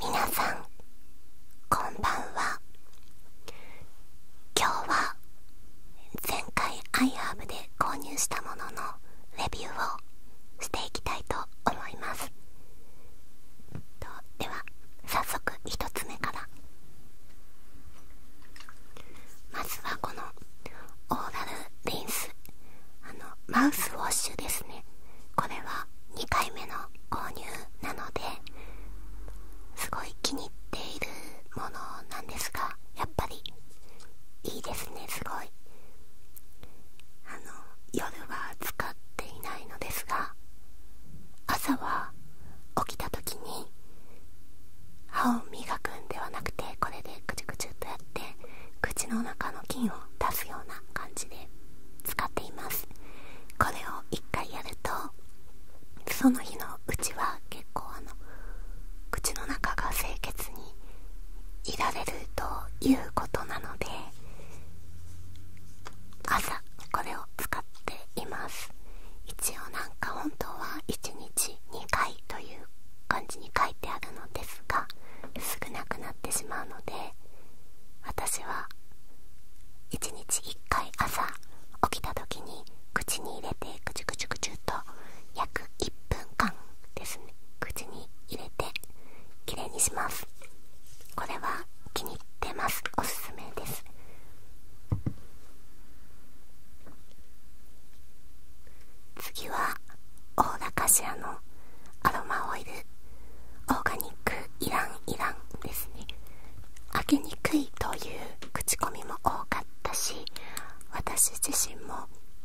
皆さんこんばんは今日は前回アイ e ー b で購入したもののレビューをしていきたいと思いますでは早速1つ目からまずはこのオーラルリンスあのマウスウォッシュですねこれは2回目の購入なのですごい気に入っているものなんですがやっぱりいいですねすごいあの夜は使っていないのですが朝は起きた時に歯を磨くんではなくてこれでくちゅくちゅとやや口の中の菌を出すような感じで使っていますこれを1回やるとその日のうちは結構あの口の中が清潔にいられるということなので朝これを使っています一応なんか本当は1日2回という感じに書いてあるのですが少なくなってしまうので私は1日1回朝起きたときに口に入れてくちゅくちゅくちゅと約1分間ですね口に入れてきれいにしますこれは気に入ってますおすすめです次はオーラカのアロマオイルオーガニックイランイランですね開けにくいという口コミも多かったし私自身も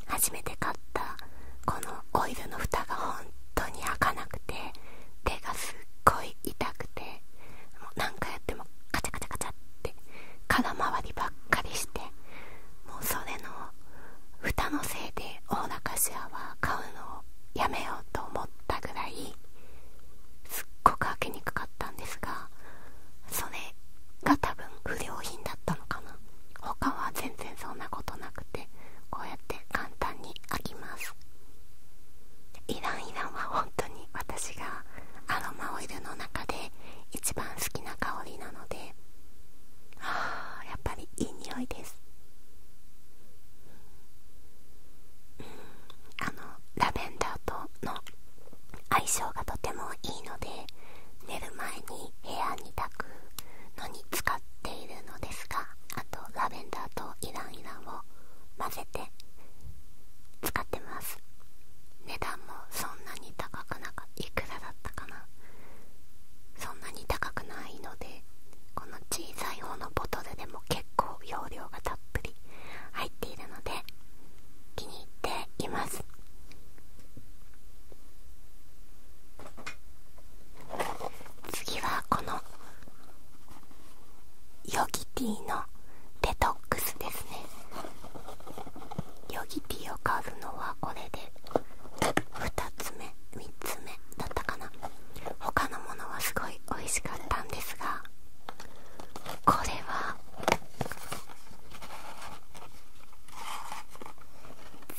初めて買ったこのオイルの蓋が本当に開かなくて手がすっごい痛くてもう何回やってもカチャカチャカチャって空回りばっかりしてもうそれの蓋のせいでオーラカシアは買うのをやめようと思ったぐらいすっごく開けにくかったんですがそれが多分不良品だったのかな他は全然そんなことなくてこうやって簡単に開きますイランイランは本当に私がアロマオイルの中で一番好きな香りなのであやっぱりいい匂いです、うん、あのラベンダーとの相性がとてもいいので寝る前に部屋に炊くのに使っているのですがあとラベンダーとイランイランを混ぜて使ってます値段もそんなに高くいくらだったかなそんなに高くないのでこの小さい方のボトルでも結構容量がたっぷり入っているので気に入っています次はこのヨギティーのデトックスですねヨギティを買うのはこれで2つ目3つ目だったかな他のものはすごい美味しかったんですがこれは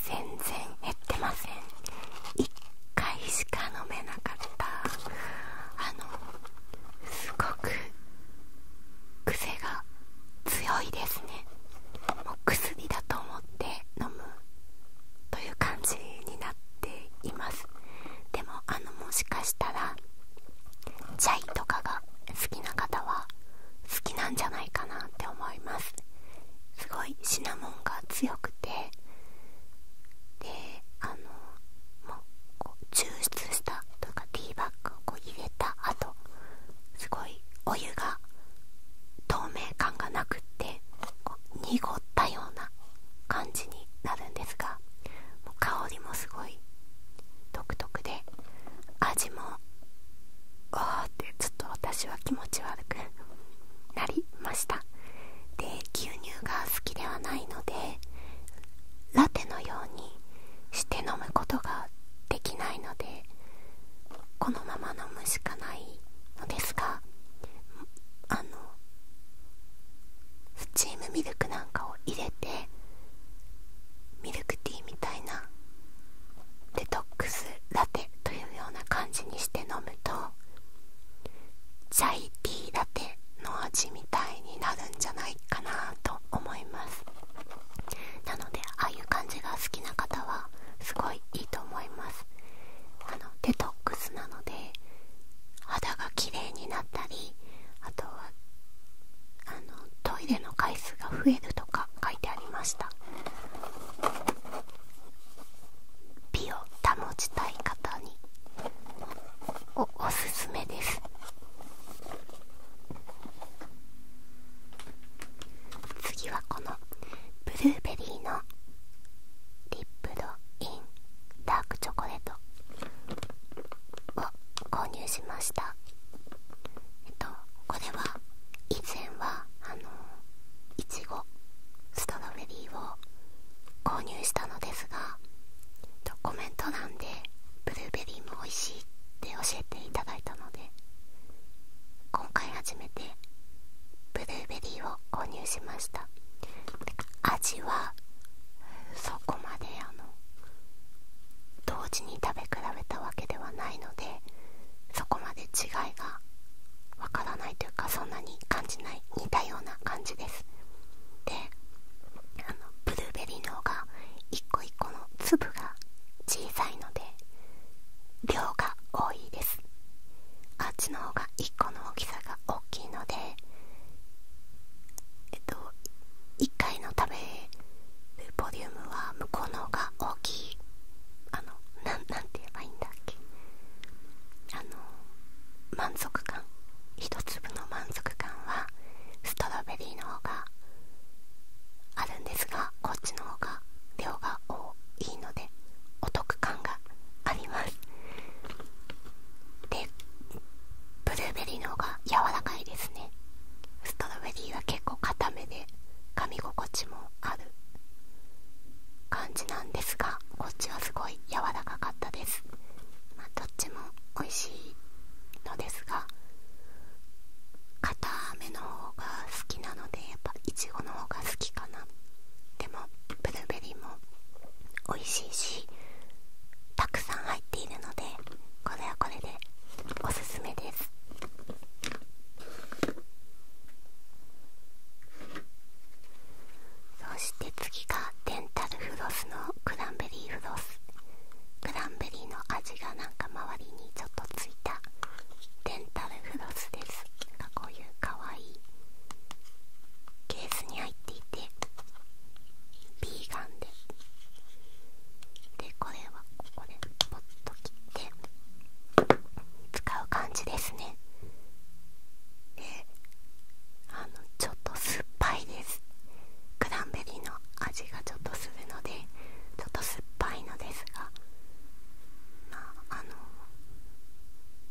全然減ってません1回しか飲めなかったあのすごく癖が強いですねも薬だと思って飲むという感じになっていますでもあのもしかしたらチャイとかが好きな方は好きなんじゃないかなって思いますすごいシナモンが強くてであの抽出したとかティーバッグをこう入れた後すごいお湯が透明感がなくって濁ったような感じになるんですがもう香りもすごい独特で味もおーってちょっと私は気持ち悪くなりましたで牛乳が好きではないのでラテのようにして飲むことができないのでこのまま飲むしかないのですがあのスチームミルクなんかを入れてミルクティーみたいなデトックスラテというような感じにして飲むとチャイティーラテの味みみになるんじゃないかなと思いますなのでああいう感じが好きな方はすごいいいと思いますあのデトックスなので肌が綺麗になったりあとはあのトイレの回数が増えるとか書いてありました美を保ちたい方におすすめです次はこのブルーベリーのリップドインダークチョコレートを購入しましたえっとこれは以前はあのいちごストロベリーを購入したのですがコメント欄でブルーベリーも美味しいって教えていただいたので今回初めてブルーベリーを購入しました味はそこまであの同時に食べ比べたわけではないのでそこまで違いがわからないというかそんなに感じない似たような感じですであのブルーベリーの方が1個1個の粒が小さいので量が多いですあっちの方が1個の大きさが大きいのでえっと1回の食べるボリュームは向こうの方が大きいあの何て言えばいいんだっけあの満足感一粒の満足感はストロベリーの方があるんですがこっちの方が量が多いのでお得感がありますでブルーベリーの方が柔らかいですねストロベリーは結構固めで噛み心地もある感じなんですがこっちはすごい柔らかかったです、まあ、どっちも美味しいのですが固めの方が好きなのでやっぱいちごの方が好きかなでもブルーベリーも美味しいしたくさん入っているのでこれはこれでおすすめですそして次がデンタルフロスのクランベリーフロスクランベリーの味がなんか周りにちょっとついたデンタルフロスですなんかこういうかわいいケースに入っていてビーガンででこれはここでポッと切って使う感じですねであのちょっと酸っぱいですクランベリーの味がちょっとするのでちょっと酸っぱいのですがまああの、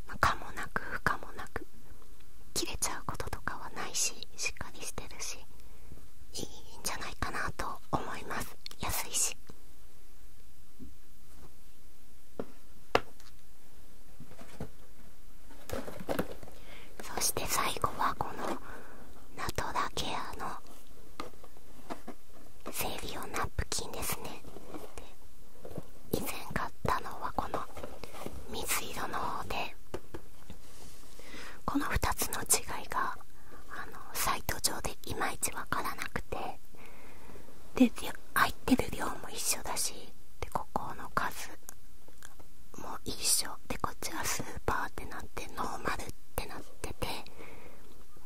まあ、かもなく不可もなく切れちゃうこととかはないししっかりしてるしいいんじゃないかなと思います安いしそして最後はこのナトラケアの生理オナプキンですねで以前買ったのはこの水色の方でこの2つの違いがあのサイト上でいまいちわからなくてで入ってる量も一緒だしでここの数も一緒でこっちはスーパーってなってノーマルってなってて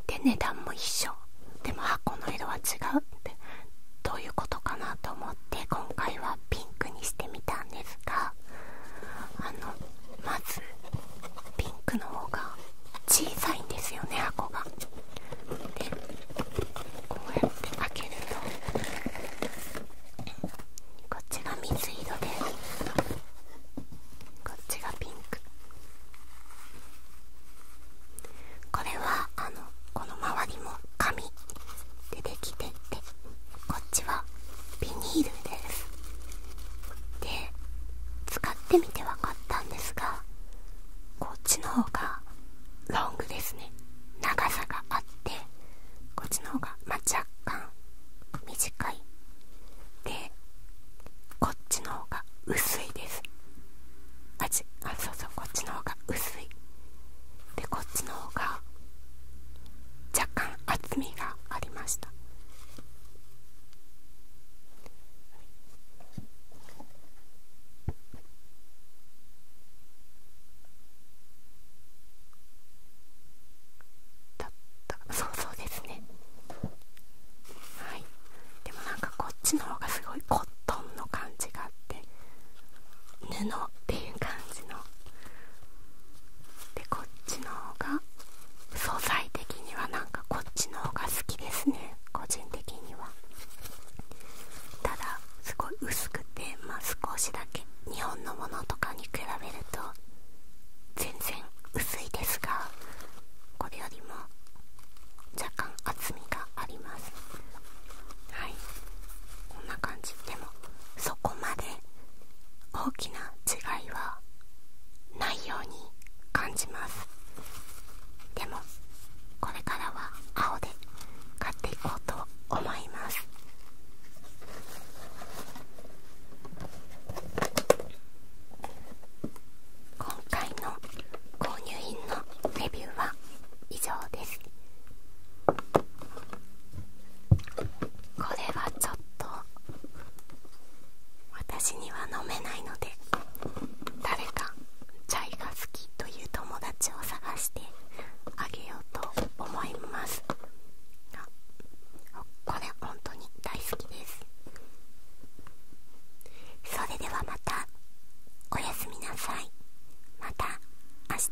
で値段も一緒でも箱の色は違うってどういうことかなと思って今回はピンクにしてみたんですがあのまずピンクの方が小さいんですよね箱が。こうやって開けるとこっちが水色でこっちがピンクこれはあのこの周りも紙でできててこっちはビニールですで使ってみて分かったんですがこっちの方がロングですね長さがあってこっちの方がま若干短いでこっちの方が薄いですあちあそうそうこっちの方が薄いでこっちの方が若干厚みがありましただったそうそうですねはいでもなんかこっちの方がすごいコットンの感じがあって布っていう感じのでこっちの方が素材的にはなんかこっちの方が好きですね個人的にはただすごい薄くてまあ少しだけ日本のものとかに比べると全然薄いですがこれよりも若干厚みがありますはいこんな感じでもそこまで大きな違いはないように感じますでもこれからは青で買っていこうと思います今回の購入品のレビューは以上ですこれはちょっと私には飲めないので誰かチャイが好きという友達を探してあげようと思いますあこれ本当に大好きですそれではまたおやすみなさいまた明日